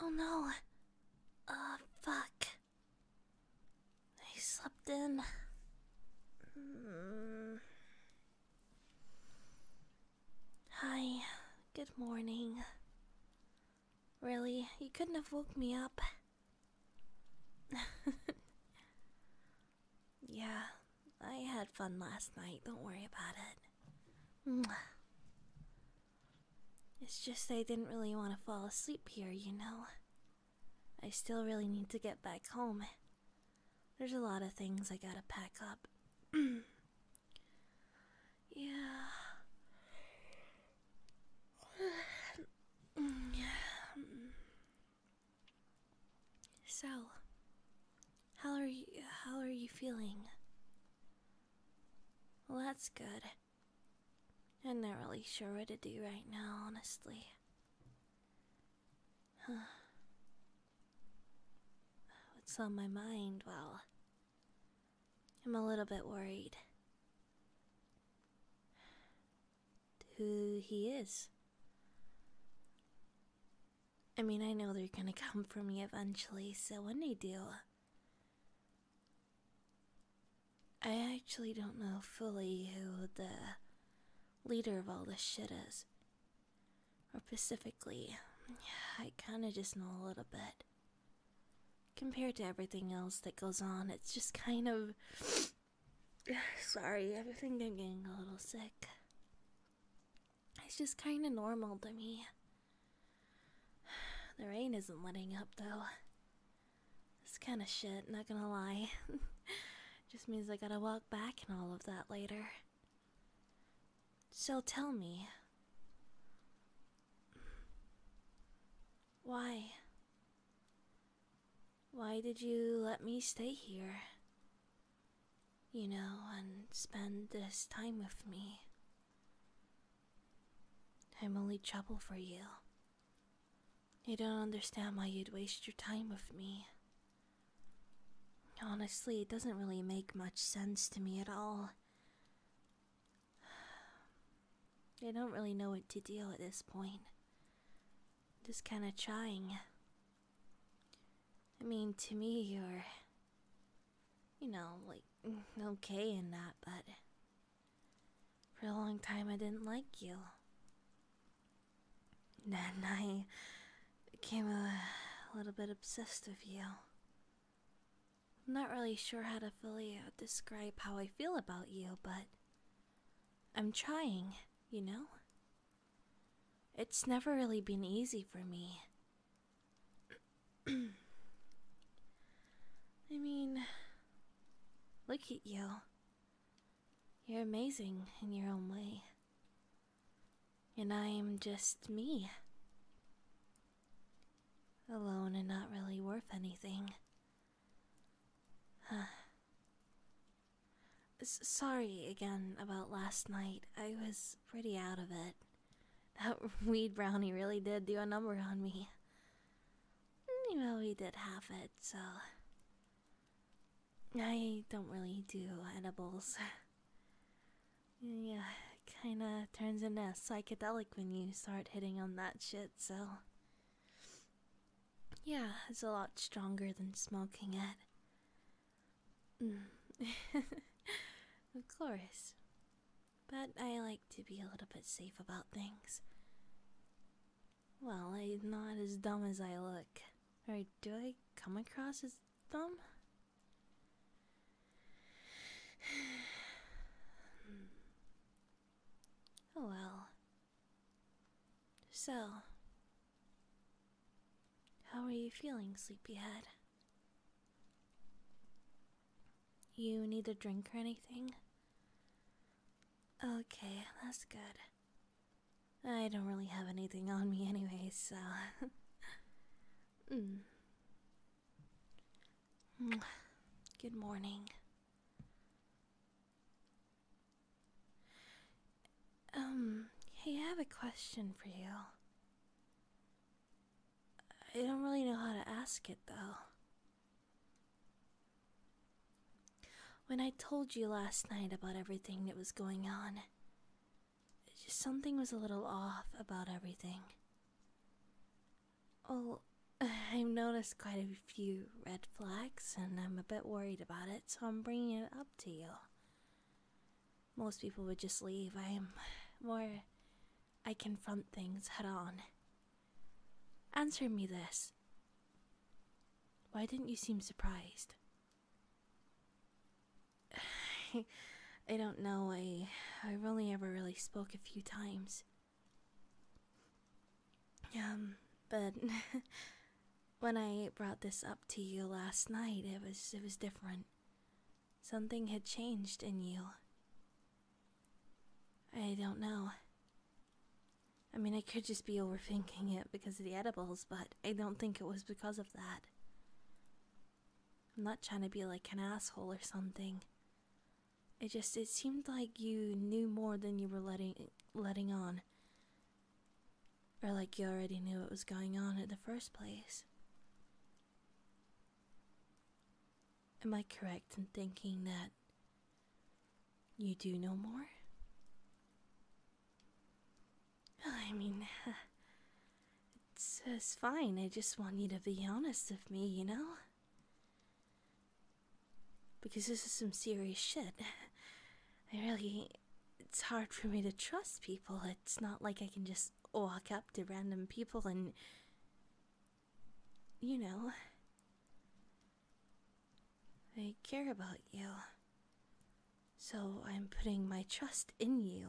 Oh no. Uh, fuck. I slept in. Mm. Hi, good morning. Really, you couldn't have woke me up. yeah, I had fun last night, don't worry about it. It's just I didn't really want to fall asleep here, you know. I still really need to get back home. There's a lot of things I gotta pack up. yeah. So, how are you how are you feeling? Well, that's good. I'm not really sure what to do right now, honestly. Huh. What's on my mind? Well, I'm a little bit worried. Who he is. I mean, I know they're gonna come for me eventually, so when they do, I actually don't know fully who the leader of all this shit is. Or specifically, I kinda just know a little bit. Compared to everything else that goes on, it's just kind of. Sorry, I think I'm getting a little sick. It's just kinda normal to me. The rain isn't letting up though. This kind of shit, not gonna lie. Just means I gotta walk back and all of that later. So tell me. Why? Why did you let me stay here? You know, and spend this time with me. I'm only trouble for you. You don't understand why you'd waste your time with me. Honestly, it doesn't really make much sense to me at all. I don't really know what to do at this point. Just kinda trying. I mean, to me, you're you know, like mm, okay in that, but for a long time I didn't like you. Then I became a little bit obsessed with you. I'm not really sure how to fully describe how I feel about you, but I'm trying, you know? It's never really been easy for me I mean, look at you. You're amazing in your own way. And I am just me. Alone and not really worth anything. sorry again about last night. I was pretty out of it. That weed brownie really did do a number on me. Well, he did half it, so. I don't really do edibles. yeah, kinda turns into psychedelic when you start hitting on that shit, so. Yeah, it's a lot stronger than smoking it. Mm. of course but I like to be a little bit safe about things. Well, I'm not as dumb as I look. Or do I come across as dumb? oh well. So, how are you feeling, sleepyhead? You need a drink or anything? Okay, that's good. I don't really have anything on me anyway, so. Mm. Mm. Good morning. Um, hey, I have a question for you. I don't really know how to ask it though. When I told you last night about everything that was going on, something was a little off about everything. Well, I've noticed quite a few red flags and I'm a bit worried about it, so I'm bringing it up to you. Most people would just leave. I'm more I confront things head on. Answer me this. Why didn't you seem surprised? I don't know. I I've only ever really spoke a few times. Um, but when I brought this up to you last night, it was it was different. Something had changed in you. I don't know. I mean, I could just be overthinking it because of the edibles, but I don't think it was because of that. I'm not trying to be like an asshole or something. It just it seemed like you knew more than you were letting letting on. Or like you already knew what was going on in the first place. Am I correct in thinking that you do know more? I mean, it's, uh, it's fine. I just want you to be honest with me, you know? Because this is some serious shit. I really. It's hard for me to trust people. It's not like I can just walk up to random people and you know, I care about you. So I'm putting my trust in you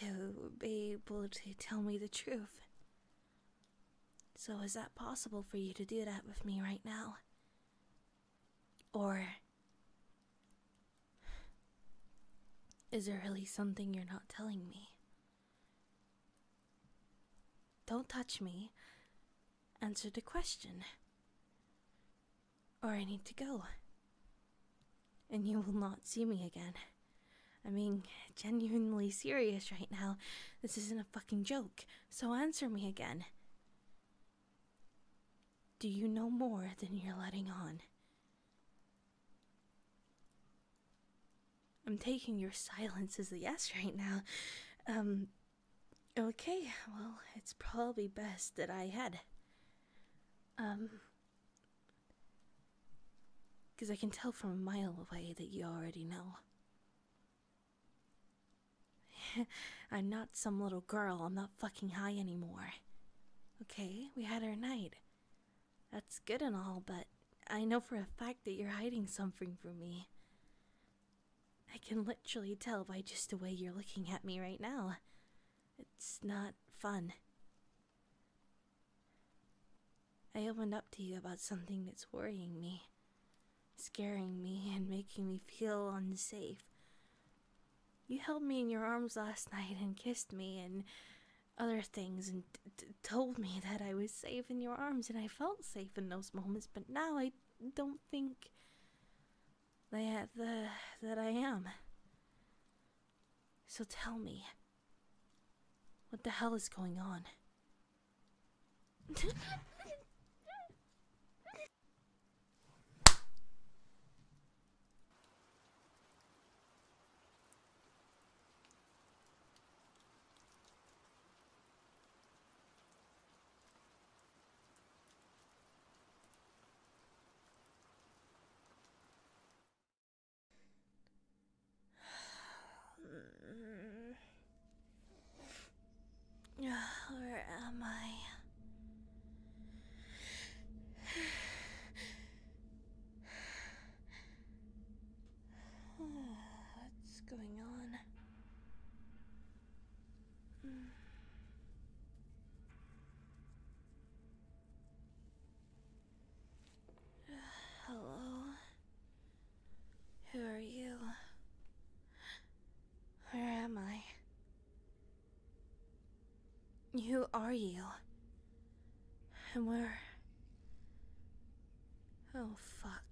to be able to tell me the truth. So is that possible for you to do that with me right now? Or is there really something you're not telling me? Don't touch me. Answer the question. Or I need to go. And you will not see me again. i mean, genuinely serious right now. This isn't a fucking joke, so answer me again. Do you know more than you're letting on? I'm taking your silence as a yes right now. Um, okay, well, it's probably best that I head. because um, I can tell from a mile away that you already know. I'm not some little girl, I'm not fucking high anymore. Okay, we had our night. That's good and all, but I know for a fact that you're hiding something from me. I can literally tell by just the way you're looking at me right now. It's not fun. I opened up to you about something that's worrying me, scaring me, and making me feel unsafe. You held me in your arms last night and kissed me, and other things and told me that I was safe in your arms, and I felt safe in those moments, but now I don't think that, the, that I am. So tell me, what the hell is going on? Where am I? What's going on? Hello? Who are you? Where am I? Who are you? And where. Oh, fuck.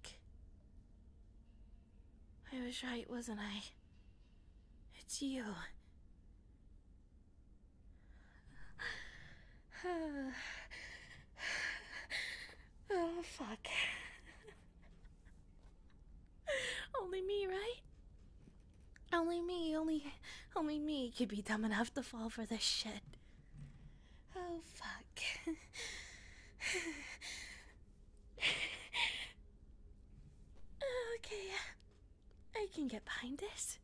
I was right, wasn't I? It's you. oh, fuck. only me, right? Only me, only. Only me could be dumb enough to fall for this shit. Oh, fuck. okay, I can get behind this.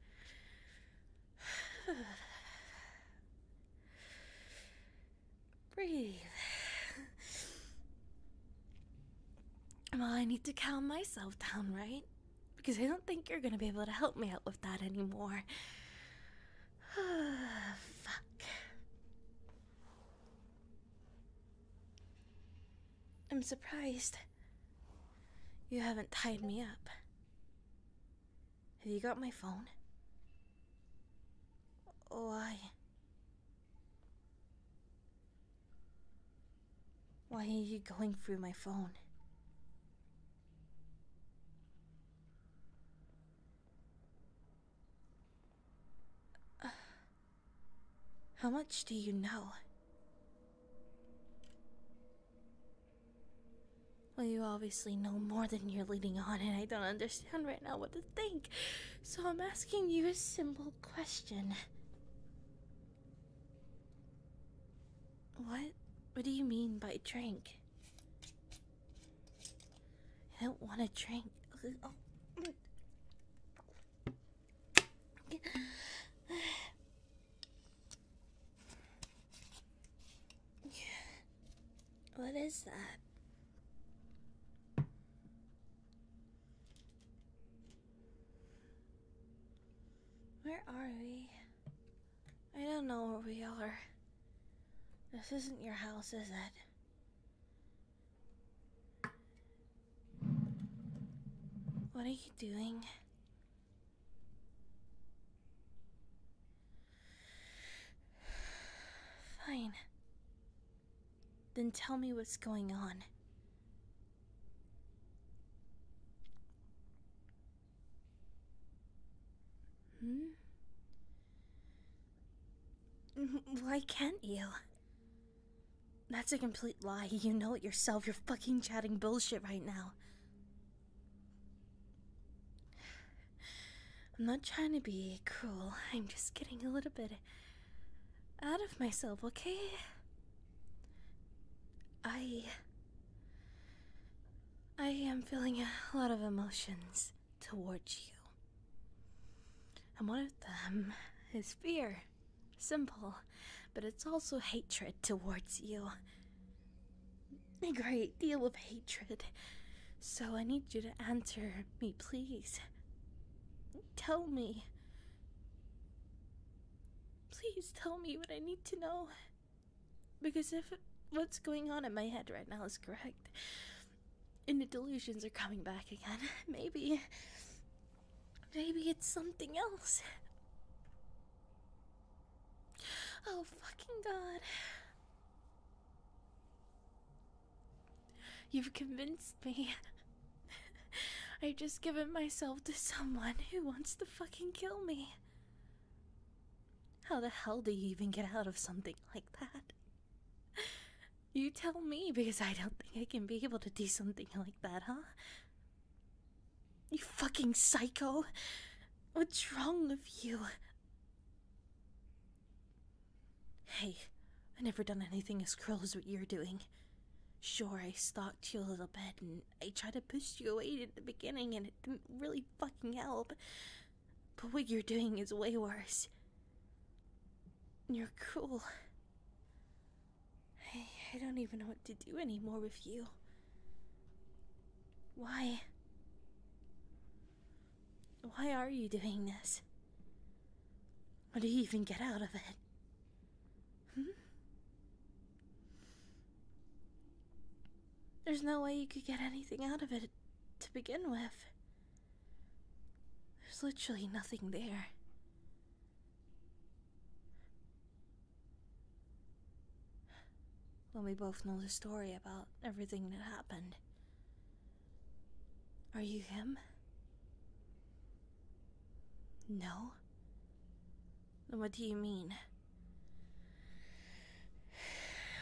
Breathe. I need to calm myself down, right? because I don't think you're gonna be able to help me out with that anymore. Fuck. I'm surprised you haven't tied me up. Have you got my phone? Why? Why are you going through my phone? how much do you know? Well, you obviously know more than you're leading on, and I don't understand right now what to think. So I'm asking you a simple question. What? What do you mean by drink? I don't want to drink. What is that? Where are we? I don't know where we are. This isn't your house, is it? What are you doing? Fine. Then tell me what's going on. Hmm? Why can't you? That's a complete lie. You know it yourself. You're fucking chatting bullshit right now. I'm not trying to be cruel. I'm just getting a little bit out of myself, okay? I. I am feeling a lot of emotions towards you. And one of them is fear. Simple, but it's also hatred towards you. A great deal of hatred. So I need you to answer me, please. Tell me. Please tell me what I need to know. Because if what's going on in my head right now is correct, and the delusions are coming back again, maybe. Maybe it's something else. Oh, fucking God. You've convinced me. I've just given myself to someone who wants to fucking kill me. How the hell do you even get out of something like that? You tell me because I don't think I can be able to do something like that, huh? You fucking psycho! What's wrong with you? Hey, I never done anything as cruel as what you're doing. Sure, I stalked your little bed. and I tried to push you away at the beginning and it didn't really fucking help. But what you're doing is way worse. You're cool. I, I don't even know what to do anymore with you. Why? Why are you doing this? What do you even get out of it? There's no way you could get anything out of it to begin with. There's literally nothing there. When we both know the story about everything that happened. Are you him? No. What do you mean?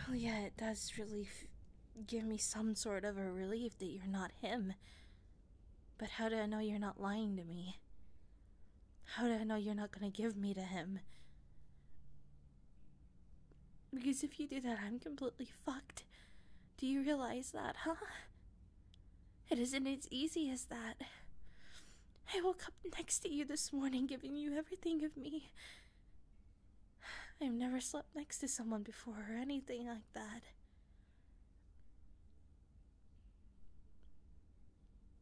Well, yeah, it does really give me some sort of a relief that you're not him. But how do I know you're not lying to me? How do I know you're not gonna give me to him? Because if you do that, I'm completely fucked. Do you realize that, huh? It isn't as easy as that. I woke up next to you this morning, giving you everything of me. I've never slept next to someone before or anything like that.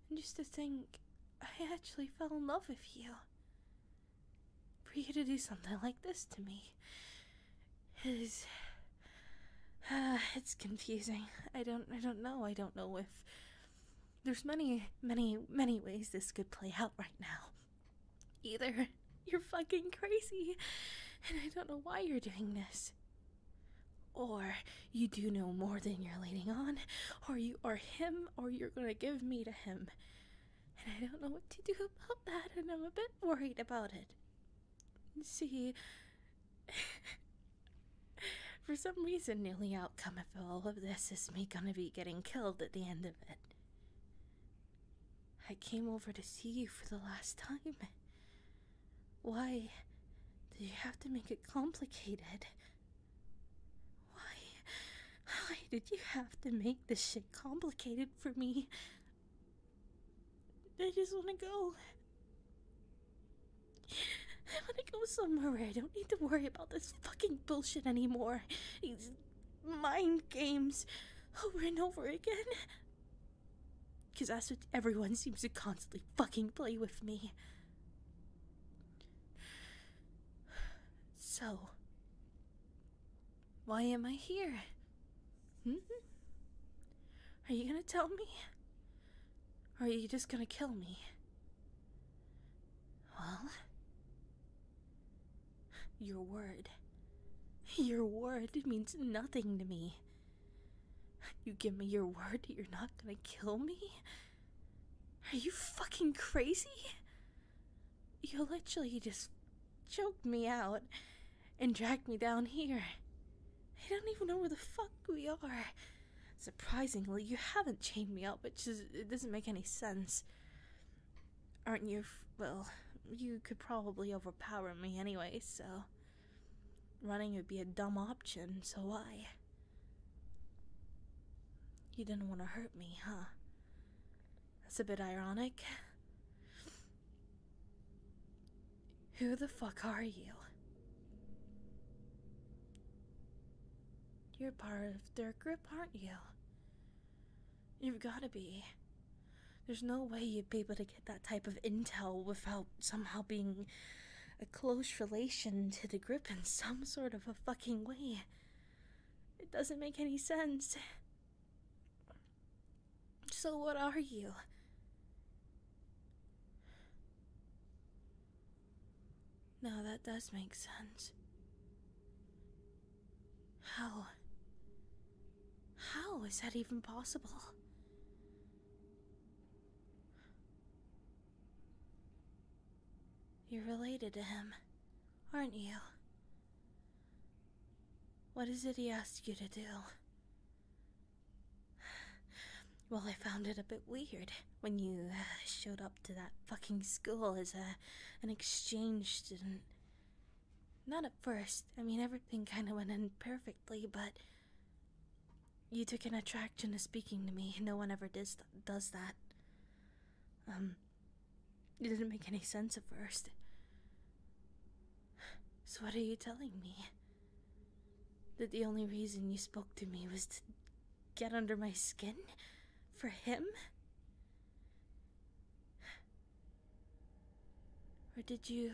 And just to think, I actually fell in love with you. For you to do something like this to me is. Uh, it's confusing. I don't. I don't know. I don't know if there's many, many, many ways this could play out right now. Either you're fucking crazy, and I don't know why you're doing this. Or you do know more than you're leading on, or you are him, or you're gonna give me to him. And I don't know what to do about that, and I'm a bit worried about it. See, For some reason, nearly only outcome of all of this is me gonna be getting killed at the end of it. I came over to see you for the last time. Why do you have to make it complicated? Why? Why did you have to make this shit complicated for me? I just want to go. I want to go somewhere I don't need to worry about this fucking bullshit anymore. These mind games over and over again. Because that's what everyone seems to constantly fucking play with me. So, why am I here? Hmm? Are you gonna tell me? are you just gonna kill me? Well? Your word. Your word means nothing to me. You give me your word you're not gonna kill me? Are you fucking crazy? You literally just choked me out and dragged me down here. I don't even know where the fuck we are. Surprisingly, you haven't chained me up, which is, it doesn't make any sense. Aren't you? Well, you could probably overpower me anyway, so. Running would be a dumb option, so why? You didn't want to hurt me, huh? That's a bit ironic. Who the fuck are you? You're part of their group, aren't you? You've gotta be. There's no way you'd be able to get that type of intel without somehow being a close relation to the grip in some sort of a fucking way. It doesn't make any sense. So, what are you? Now that does make sense. How? How is that even possible? You're related to him, aren't you? What is it he asked you to do? Well, I found it a bit weird when you uh, showed up to that fucking school as a, an exchange student. Not at first. I mean, everything kind of went in perfectly, but you took an attraction to speaking to me. No one ever does, does that. Um, it didn't make any sense at first. So, what are you telling me? That the only reason you spoke to me was to get under my skin? For him? Or did you.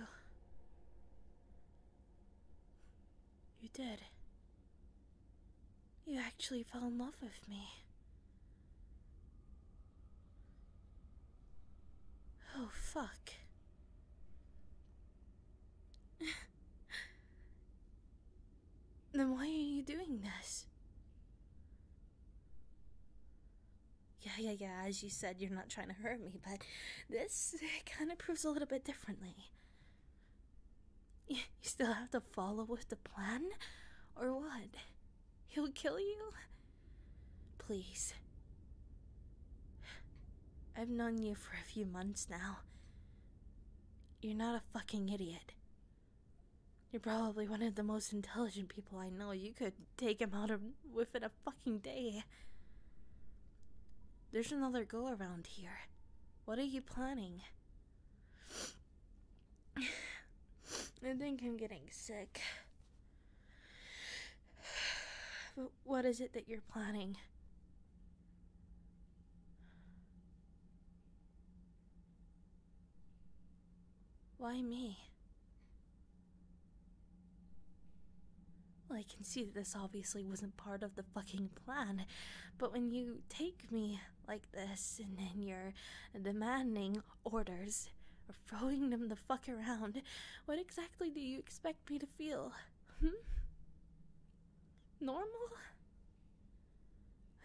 You did. You actually fell in love with me. Oh, fuck. Then why are you doing this? Yeah, yeah, yeah, as you said, you're not trying to hurt me, but this kind of proves a little bit differently. You still have to follow with the plan? Or what? He'll kill you? Please. I've known you for a few months now. You're not a fucking idiot. You're probably one of the most intelligent people I know. You could take him out of within a fucking day. There's another go around here. What are you planning? I think I'm getting sick. But what is it that you're planning? Why me? Well, I can see that this obviously wasn't part of the fucking plan, but when you take me like this and then you're demanding orders or throwing them the fuck around, what exactly do you expect me to feel? Hmm? normal?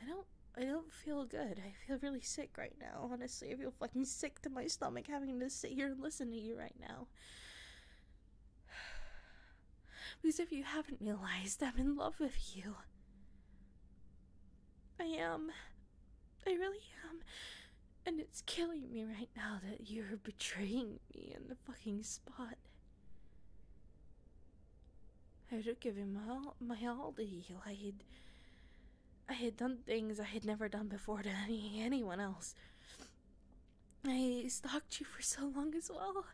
I don't I don't feel good. I feel really sick right now. Honestly, I feel fucking sick to my stomach having to sit here and listen to you right now. Because if you haven't realized, I'm in love with you. I am. I really am. And it's killing me right now that you're betraying me in the fucking spot. I would give him my all to heal. I had, I had done things I had never done before to anyone else. I stalked you for so long as well.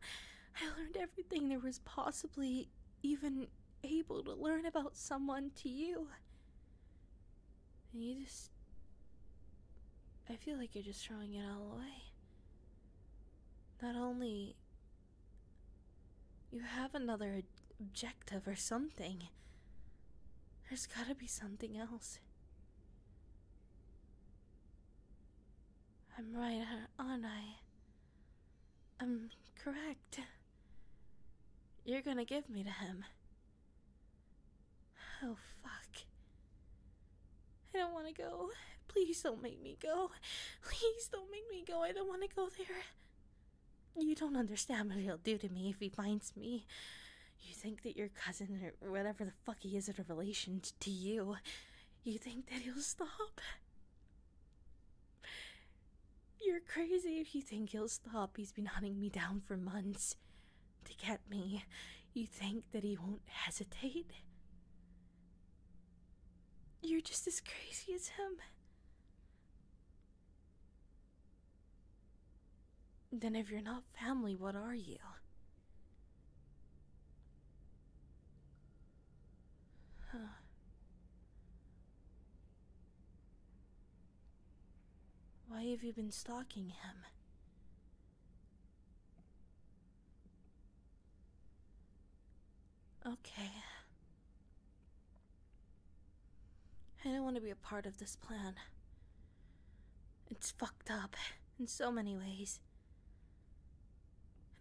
I learned everything there was possibly even able to learn about someone to you. And you just. I feel like you're just throwing it all away. Not only. You have another objective or something. There's gotta be something else. I'm right, aren't I? I'm correct. You're gonna give me to him. Oh, fuck. I don't want to go. Please don't make me go. Please don't make me go. I don't want to go there. You don't understand what he'll do to me if he finds me. You think that your cousin or whatever the fuck he is is a relation to you, you think that he'll stop? You're crazy if you think he'll stop. He's been hunting me down for months to get me. You think that he won't hesitate? You're just as crazy as him. Then, if you're not family, what are you? Why have you been stalking him? Okay. I don't want to be a part of this plan. It's fucked up in so many ways.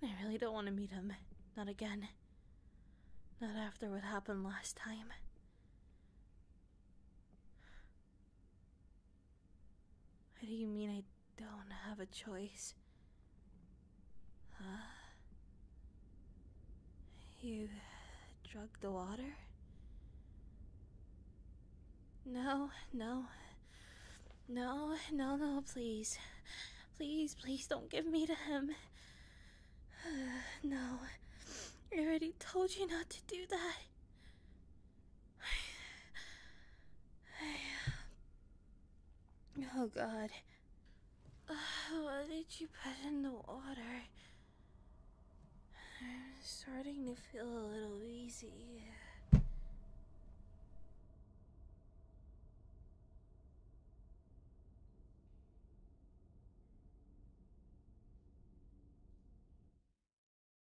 And I really don't want to meet him. Not again. Not after what happened last time. What do you mean I don't have a choice? Huh? You drug the water? No, no. No, no, no, please. Please, please don't give me to him. no. I already told you not to do that. oh God. Uh, what did you put in the water? I'm starting to feel a little dizzy.